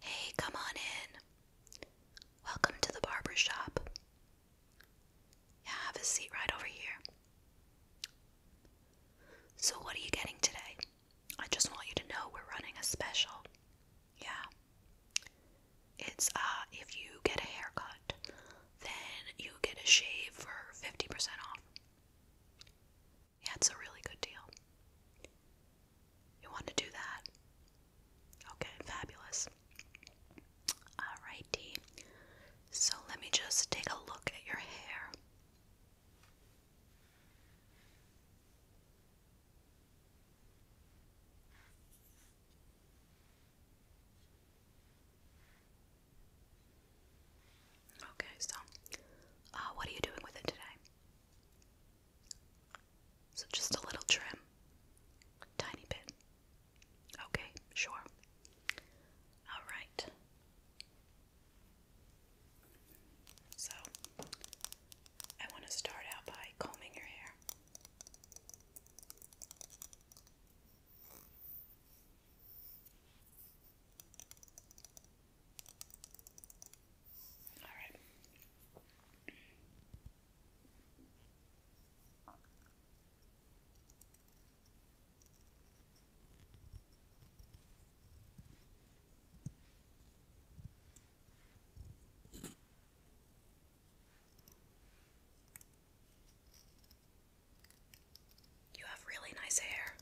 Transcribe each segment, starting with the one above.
Hey, come on in. Welcome to the barber shop. Yeah, have a seat right over here. So, what are you getting today? I just want you to know we're running a special. Yeah. It's uh if you get a haircut, then you get a shave for 50% off. Yeah, it's a really good deal. You want to do that? Okay, fabulous. Alrighty. So let me just take a look at your hair. Okay, so uh, what are you doing with it today? So just a little trim. Tiny bit. Okay, sure. All right. So I want to start out by combing your hair. You have really nice hair.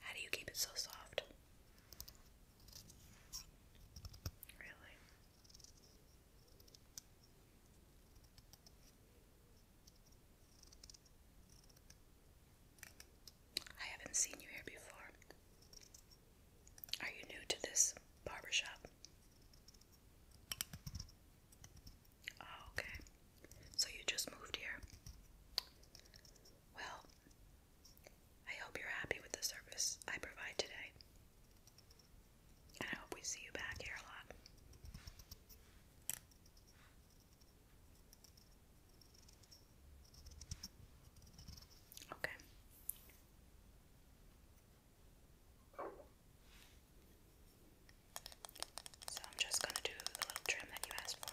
How do you keep it so soft? Really? I haven't seen you here before. Are you new to this barbershop? Oh, okay. So you just moved here? Well, I hope you're happy with the service I provide today. And I hope we see you back here a lot. Okay. So I'm just going to do the little trim that you asked for.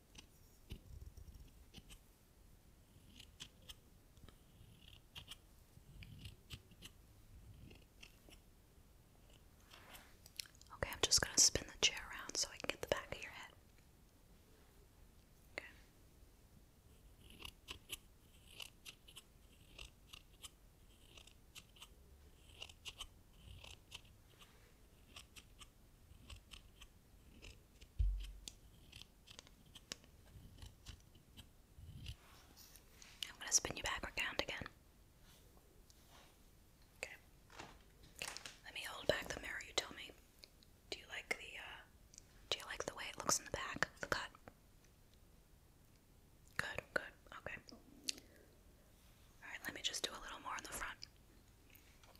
Okay, I'm just going to spin the chair around so I can get the back of your head. I'm going to spin you back around again. Okay. Let me hold back the mirror. You tell me. Do you like the uh, do you like the way it looks in the back the cut? Good, good. Okay. All right, let me just do a little more in the front.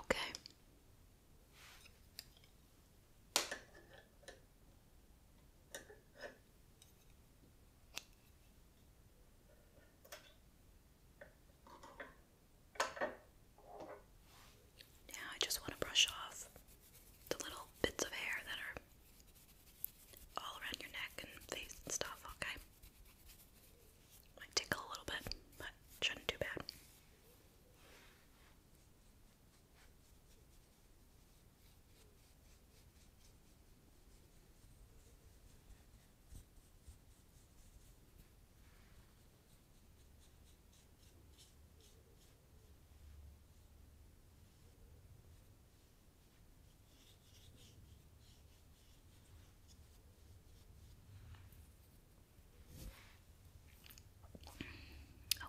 Okay. Now I just want to brush off the little bits of hair that are all around your neck and face and stuff, okay? Might tickle a little bit, but shouldn't do bad. Okay.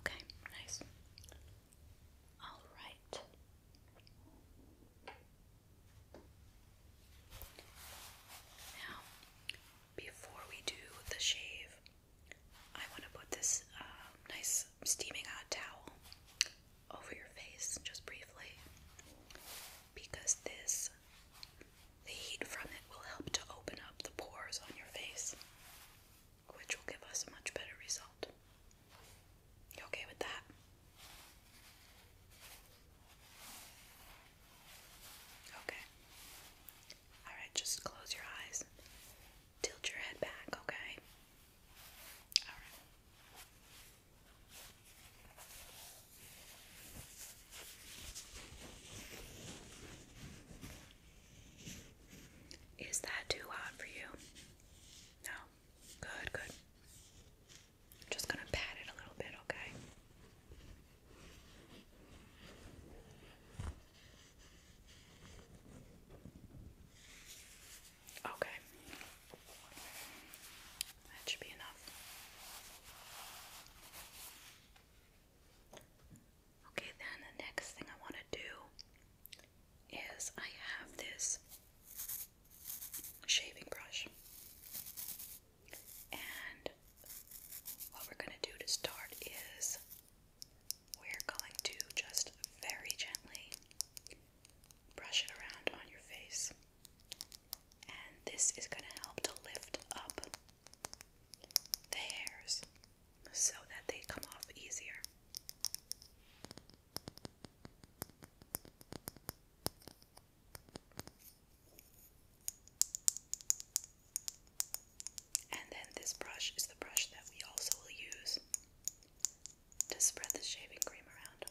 Okay, nice. All right. Now, before we do the shave, I want to put this uh, nice steaming hot towel over your face just briefly because this the heat from it will help to open up the pores on your face which will give us a much better result. You okay with that? Okay. Alright, just close your eyes. Tilt your head back, okay? Is that too hot for you? No. Good, good. I'm just going to pat it a little bit, okay? Okay. That should be enough. Okay, then the next thing I want to do is I have this shaving brush. And what we're going to do to start is we're going to just very gently brush it around on your face. And this is going to help to lift up the hairs so that they come off easier. And then this brush is the brush that we also will use to spread the shaving cream around.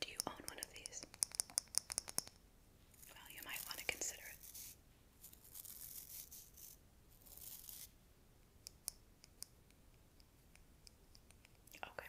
Do you own one of these? Well, you might want to consider it. Okay.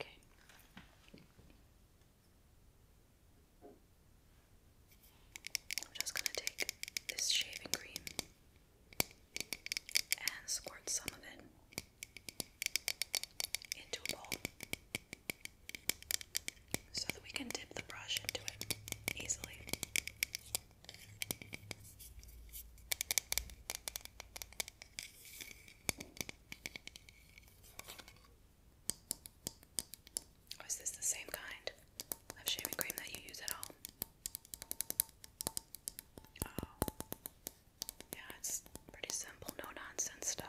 Okay. I'm just going to take this shaving cream and squirt some of it into a bowl so that we can dip the brush into it easily. Oh, is this the same kind of shaving cream that you use at home? Oh, yeah, it's pretty simple, no nonsense stuff.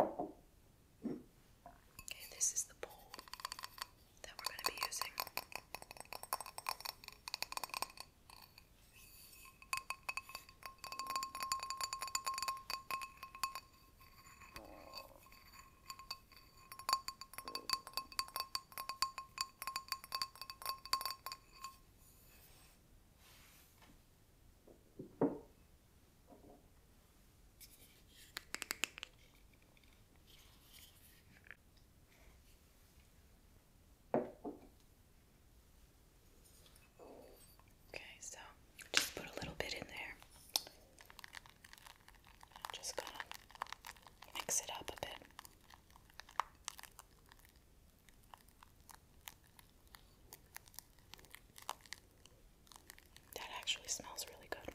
Okay, this is the bowl that we're going to be using. Okay, so just put a little bit in there. Just gonna mix it up a bit. That actually smells really good.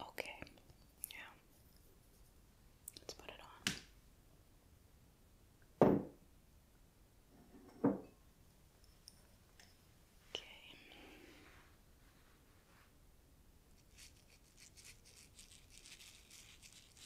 Okay, yeah, let's put it on. Okay.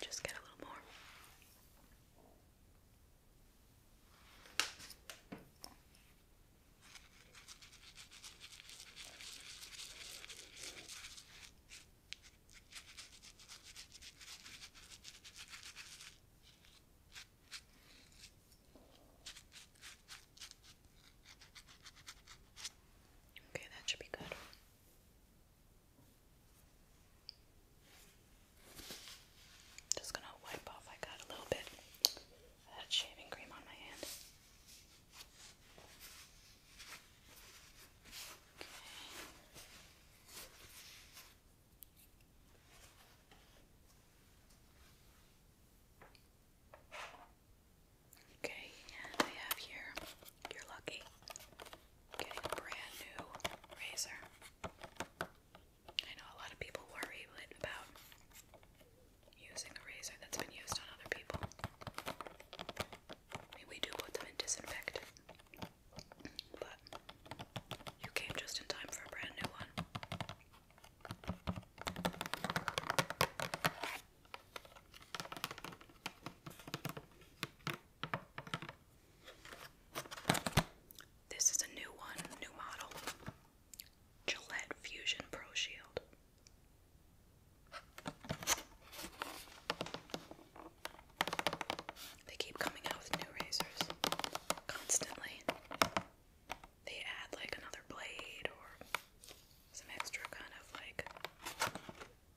Just get a little more. Okay, that should be good. Just gonna wipe off. I got a little bit of shaving cream on my hand. Okay, and I have here, you're lucky getting a brand new razor. I know a lot of people worry about using a razor that's been used on other people. we do put them in disinfectant, but you came just in time for a brand new one. This is a new one, new model. Gillette Fusion Pro They keep coming out with new razors constantly. They add like another blade or some extra kind of like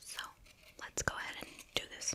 So let's go ahead and do this.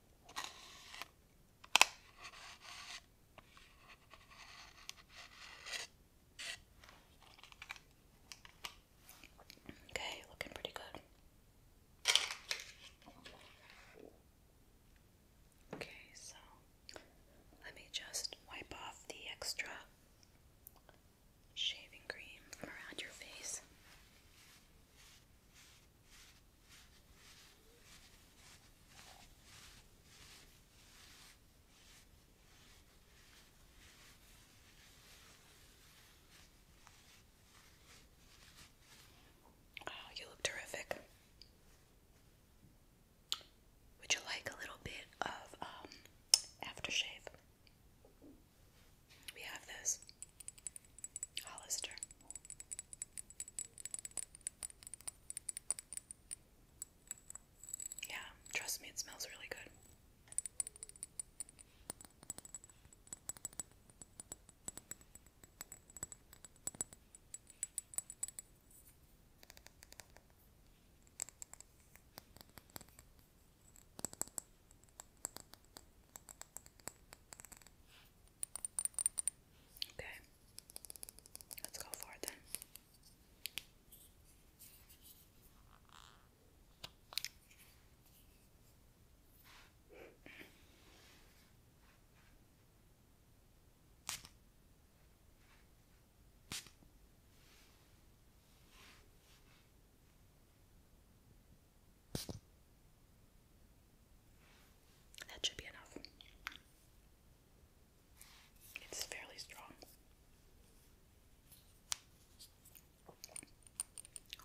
Okay, looking pretty good. Okay, so let me just wipe off the extra shaving cream from around your face. Oh, you look terrific. Would you like a little bit of um, aftershave? We have this Hollister. Yeah, trust me, it smells really good. Okay, let's go for it then. That should be enough. It's fairly strong.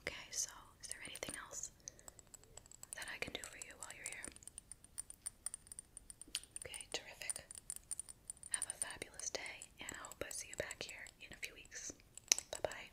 Okay, so is there anything else that I can do for you while you're here? Okay, terrific. Have a fabulous day, and I hope I see you back here in a few weeks. Bye bye.